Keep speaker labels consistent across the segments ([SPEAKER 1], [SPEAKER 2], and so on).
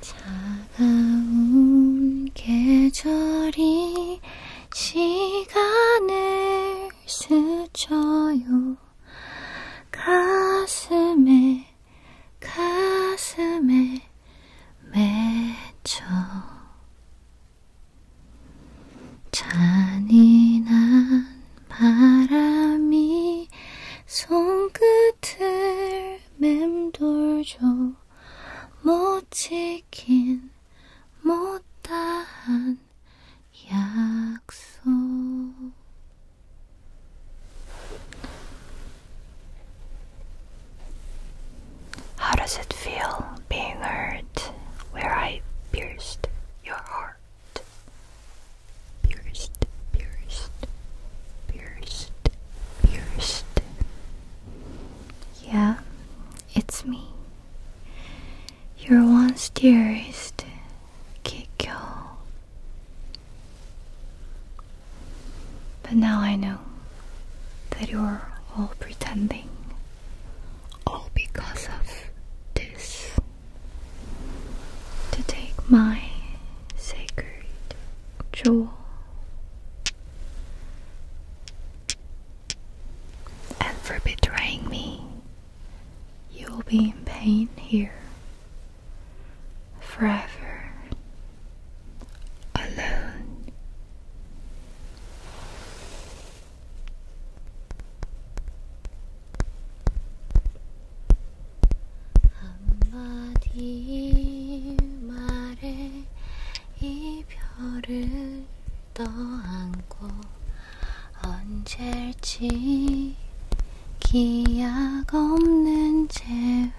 [SPEAKER 1] 차가운 계절이 시간을 스쳐요 가슴에 가슴에 맺혀 잔인한 바람이 손끝을 맴돌죠. 못 지킨 못다한 약속. How does it feel now being hurt where I pierced your heart. Pierced, pierced, pierced, pierced. Yeah, it's me. Your once dearest Kikyo. But now I know that you're all pretending all because of this. To take my sacred jewel and for betraying me, you'll be in pain here forever alone. 한마디 말에 이별을 떠안고 언제일지 기약 없는 재회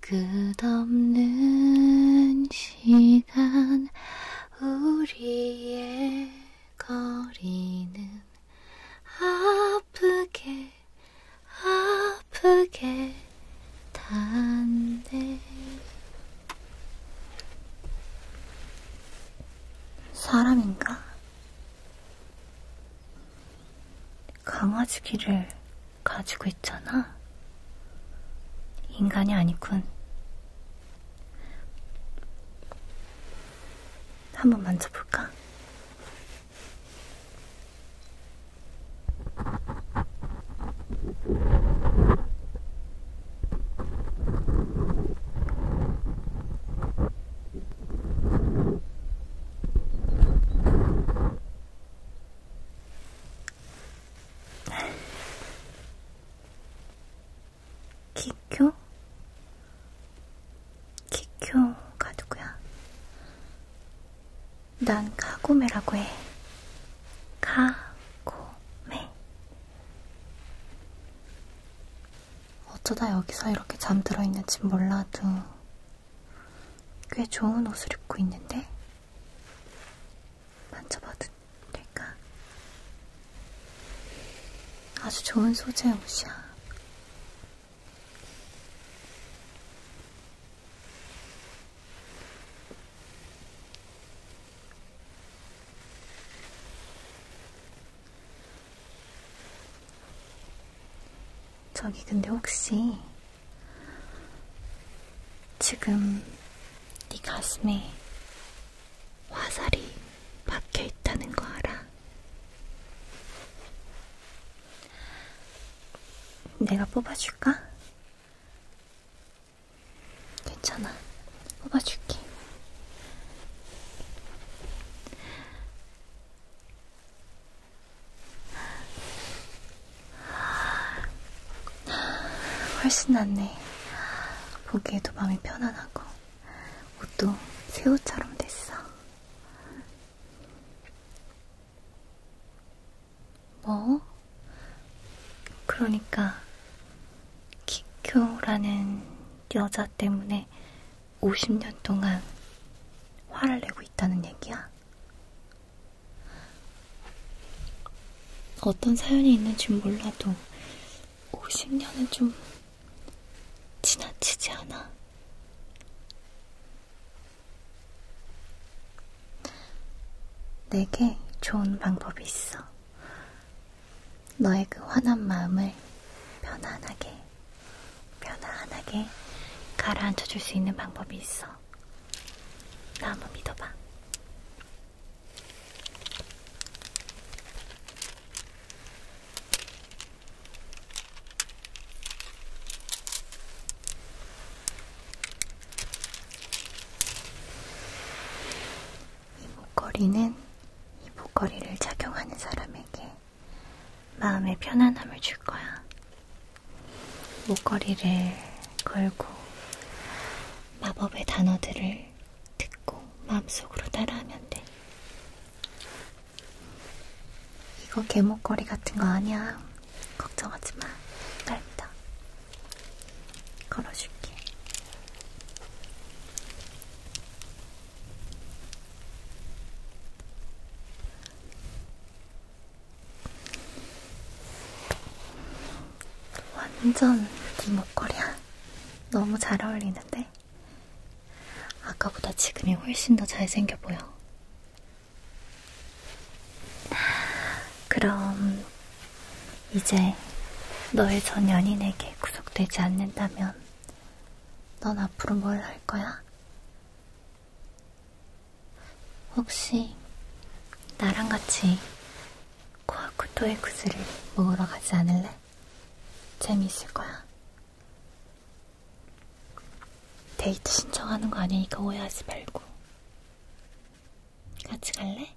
[SPEAKER 1] 끝없는 시간 우리의 거리는 아프게 아프게 닿네 사람인가? 강아지 귀를 가지고 있잖아. 인간이 아니군. 한번 만져볼까? 기쿄? 기쿄가 누구야? 난 카고메라고 해. 카고메. 어쩌다 여기서 이렇게 잠들어 있는지 몰라도 꽤 좋은 옷을 입고 있는데? 만져봐도 될까? 아주 좋은 소재의 옷이야. 저기 근데 혹시 지금 네 가슴에 화살이 박혀 있다는 거 알아? 내가 뽑아줄까? 괜찮아, 뽑아줄게. 훨씬 낫네. 보기에도 마음이 편안하고 옷도 새 옷처럼 됐어. 뭐? 그러니까 키쿄라는 여자 때문에 50년 동안 화를 내고 있다는 얘기야? 어떤 사연이 있는지 몰라도 50년은 좀 지나치지 않아. 내게 좋은 방법이 있어. 너의 그 화난 마음을 편안하게, 편안하게 가라앉혀줄 수 있는 방법이 있어. 나 한번 믿어봐. 이 목걸이는 이 목걸이를 착용하는 사람에게 마음의 편안함을 줄 거야. 목걸이를 걸고 마법의 단어들을 듣고 마음속으로 따라하면 돼. 이거 개목걸이 같은 거 아니야. 걱정하지 마. 날 믿어. 걸어줄게. 완전 네 목걸이야. 너무 잘 어울리는데? 아까보다 지금이 훨씬 더 잘생겨 보여. 그럼 이제 너의 전 연인에게 구속되지 않는다면 넌 앞으로 뭘 할 거야? 혹시 나랑 같이 코아쿠토의 구슬을 모으러 가지 않을래? 재미있을 거야. 데이트 신청하는 거 아니니까 오해하지 말고. 같이 갈래?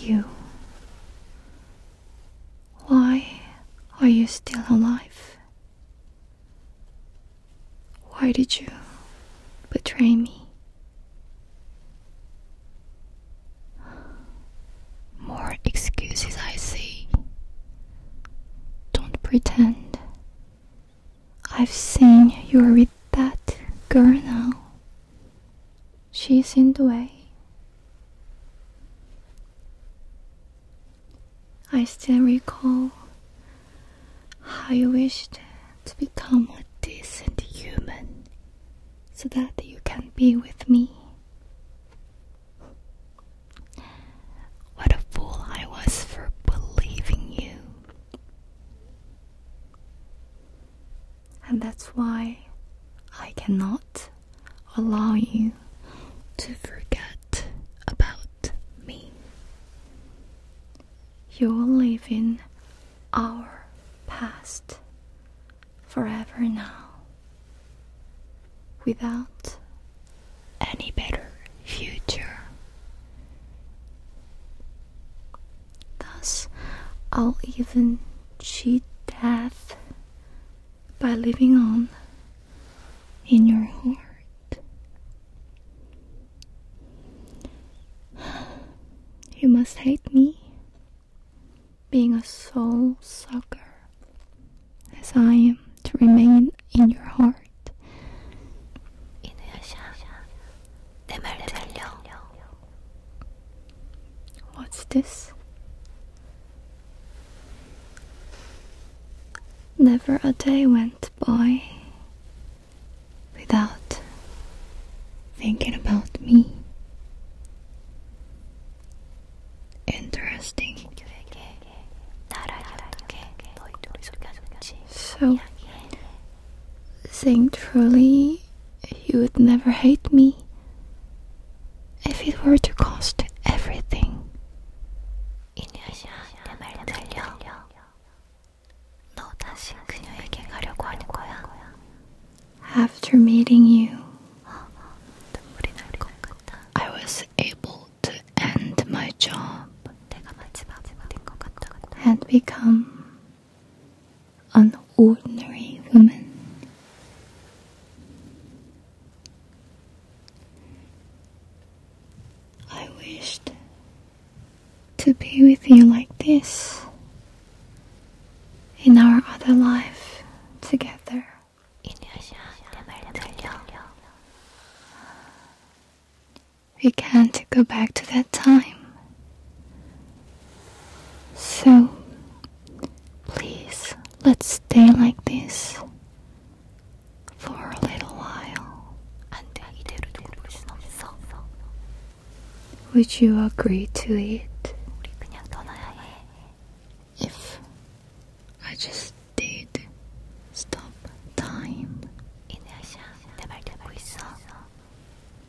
[SPEAKER 1] You Why are you still alive? Why did you betray me? More excuses, I see. Don't pretend. I've seen you're with that girl now. She's in the way. I still recall how you wished to become a decent human so that you can be with me. What a fool I was for believing you and that's why I cannot allow you to forget about me. You'll live in our past forever now without any better future. Thus, I'll even cheat death by living on in your heart. You must hate me being a soul sucker, as I am to remain in your heart. What's this? Never a day went by without thinking about me. Interesting. So, saying truly, you would never hate me if it were to cost everything. After meeting you, I was able to end my job and become an ordinary woman. I wished to be with you like this in our other life together. We can't go back to that time. So, please, let's stay like this for a little while. Would you agree to it? If I just did stop time.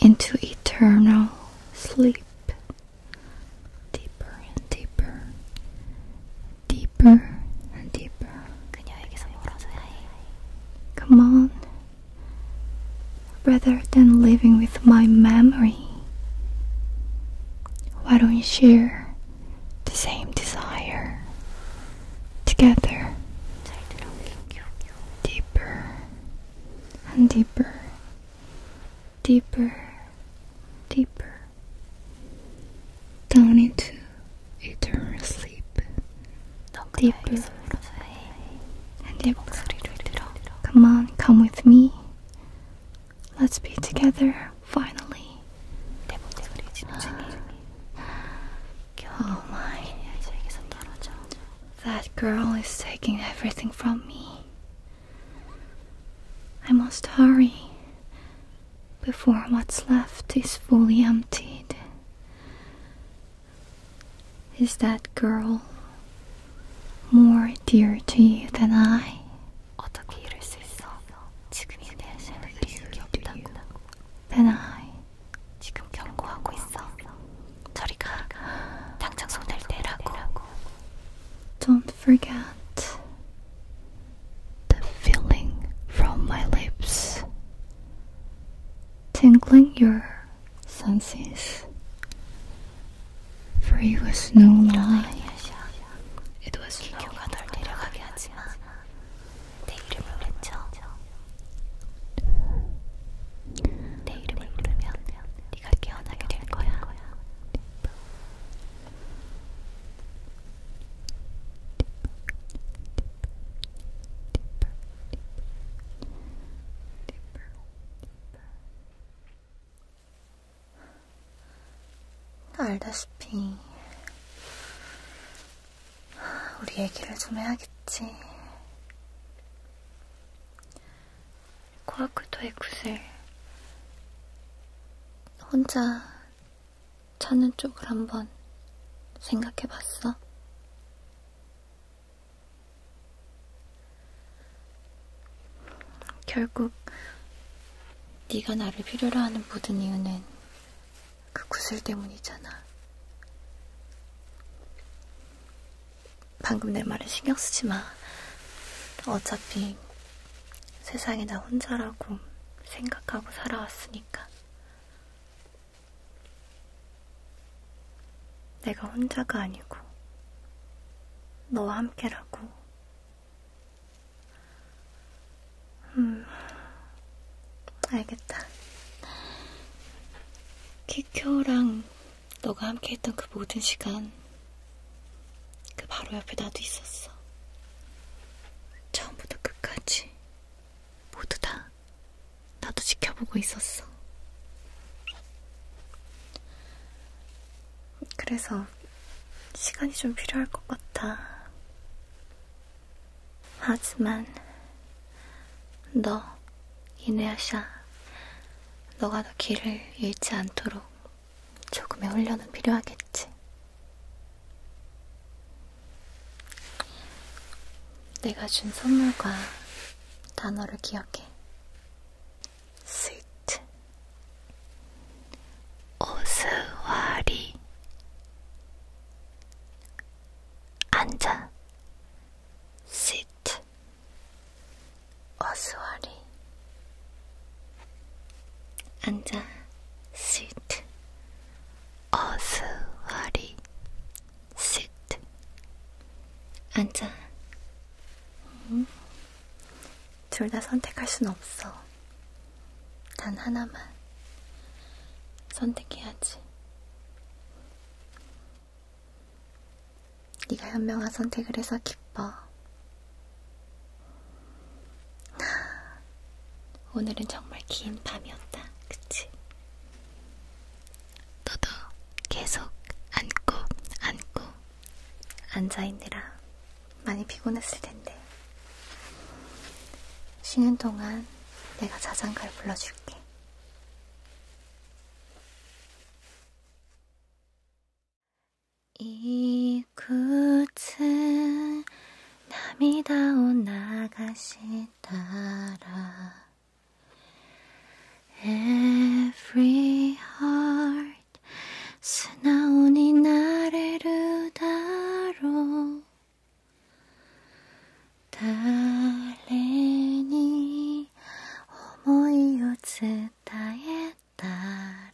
[SPEAKER 1] into eternal sleep, deeper and deeper, deeper and deeper. Come on, rather than living with my memory, why don't we share the same desire together? deeper and deeper, deeper, deeper, down into eternal sleep. Deeper and deeper. Come on, come with me. Let's be together finally. Oh my. That girl is taking everything from me. I must hurry before what's left is fully emptied. Is that girl more dear to you than I? 어떻게 이럴 수 있어? 지금 I. 내라고. Don't forget the feeling from my lips, tingling your senses. For it was no lie. It was no lie. 내 이름을 외쳐 내 이름을 부르면 네가 깨어나게 될 거야. 알다시피 우리 얘기를 좀 해야겠지. 코라쿠토의 구슬. 혼자 찾는 쪽을 한번 생각해 봤어? 결국 네가 나를 필요로 하는 모든 이유는 그 구슬 때문이잖아. 방금 내 말에 신경 쓰지 마. 어차피 세상에 나 혼자라고 생각하고 살아왔으니까. 내가 혼자가 아니고 너와 함께라고. 음, 알겠다. 키큐랑 너가 함께 했던 그 모든 시간, 그 바로 옆에 나도 있었어. 처음부터 끝까지, 모두 다, 나도 지켜보고 있었어. 그래서, 시간이 좀 필요할 것 같아. 하지만 너 이누야샤 너가 더 길을 잃지 않도록 조금의 훈련은 필요하겠지. 내가 준 선물과 단어를 기억해. 스위트. 오스와리. 앉아. sit 어수아리 앉아 sit 어수아리 sit 앉아 음? 둘다 선택할 순 없어 단 하나만 선택해야지 네가 현명한 선택을 해서 기뻐. 오늘은 정말 긴 밤이었다, 그치? 너도 계속 안고 안고 앉아있느라 많이 피곤했을 텐데 쉬는 동안 내가 자장가를 불러줄게. いくつ涙を流したら Every heart 素直になれるだろう誰に思いを伝えたら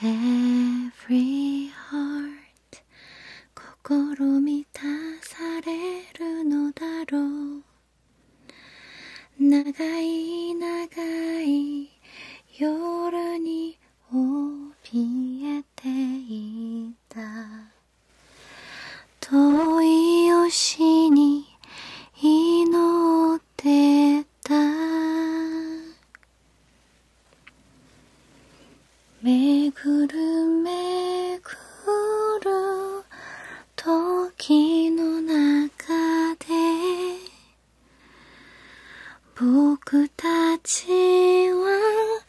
[SPEAKER 1] Every heart 心満たされるのだろう長い長い夜に怯えて。っていた遠い星に祈ってためぐるめぐる時の中で僕たちは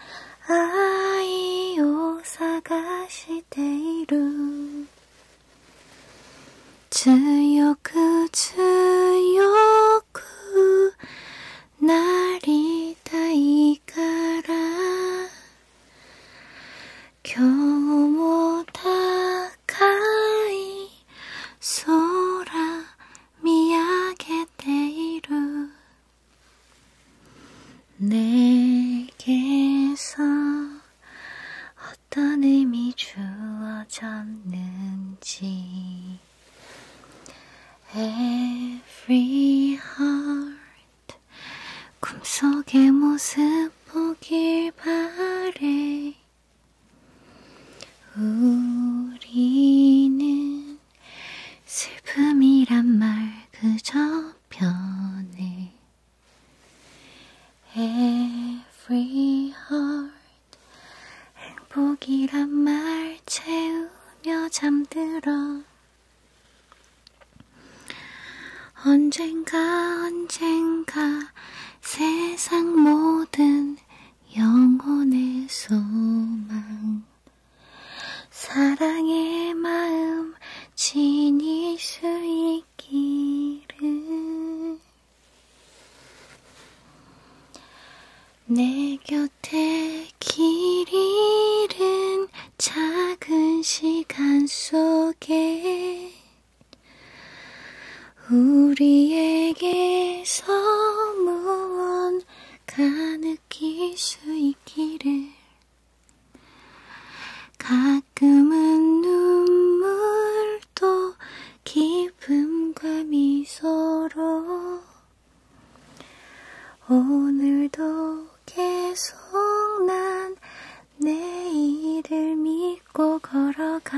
[SPEAKER 1] 愛を探している強く強くなりたいから今日も高い空見上げている 내게서 어떤 의미 주어졌는지 Every heart 꿈속의 모습 보길 바래 우리는 슬픔이란 말그 저편에 Every heart 행복이란 말 채우며 잠들어 언젠가 언젠가 세상 모든 영혼의 소망 사랑의 마음 지닐 수 있기를 내 곁에 길 잃은 작은 시간 속에 우리에게서 무언 넌 가느낄 수 있기를 가끔은 눈물도 기쁨과 미소로 오늘도 계속 난 내일을 믿고 걸어가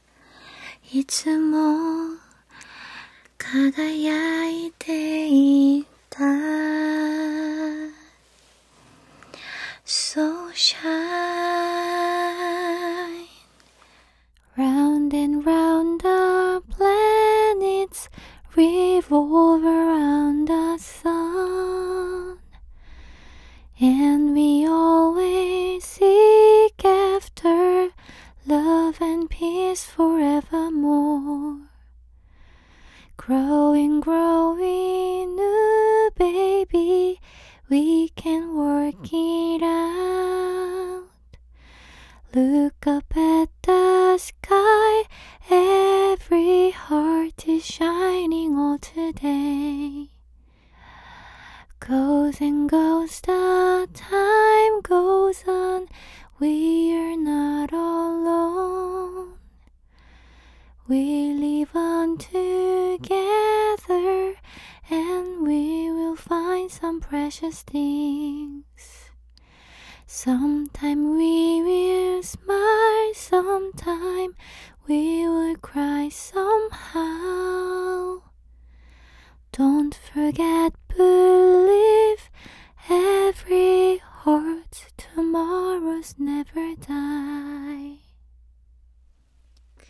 [SPEAKER 1] いつも輝いていたそうしゃ Round and round the planets revolve around the sun and we always seek after love and peace forevermore. Growing, growing, new baby, we can work it out. Look up at the sky, every heart is shining all today. Goes and goes the time goes on, we are not alone. We live on together and we will find some precious things. Sometime we will smile, sometime we will cry somehow. Don't forget, believe every heart, tomorrow's never die.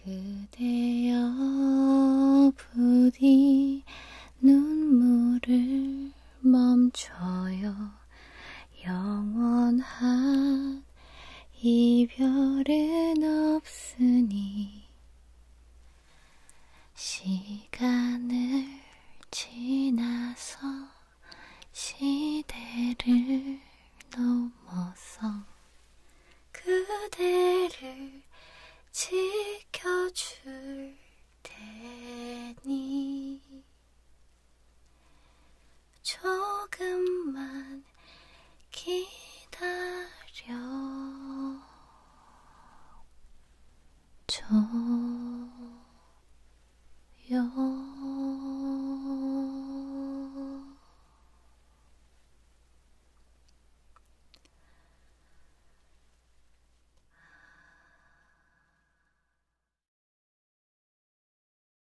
[SPEAKER 1] 그대여 부디 눈물을 멈춰요 영원한 이별은 없으니 시간을 지나서 시대를 넘어서 그대를 지켜줄 테니 조금만 잠깐 기다려 줘요.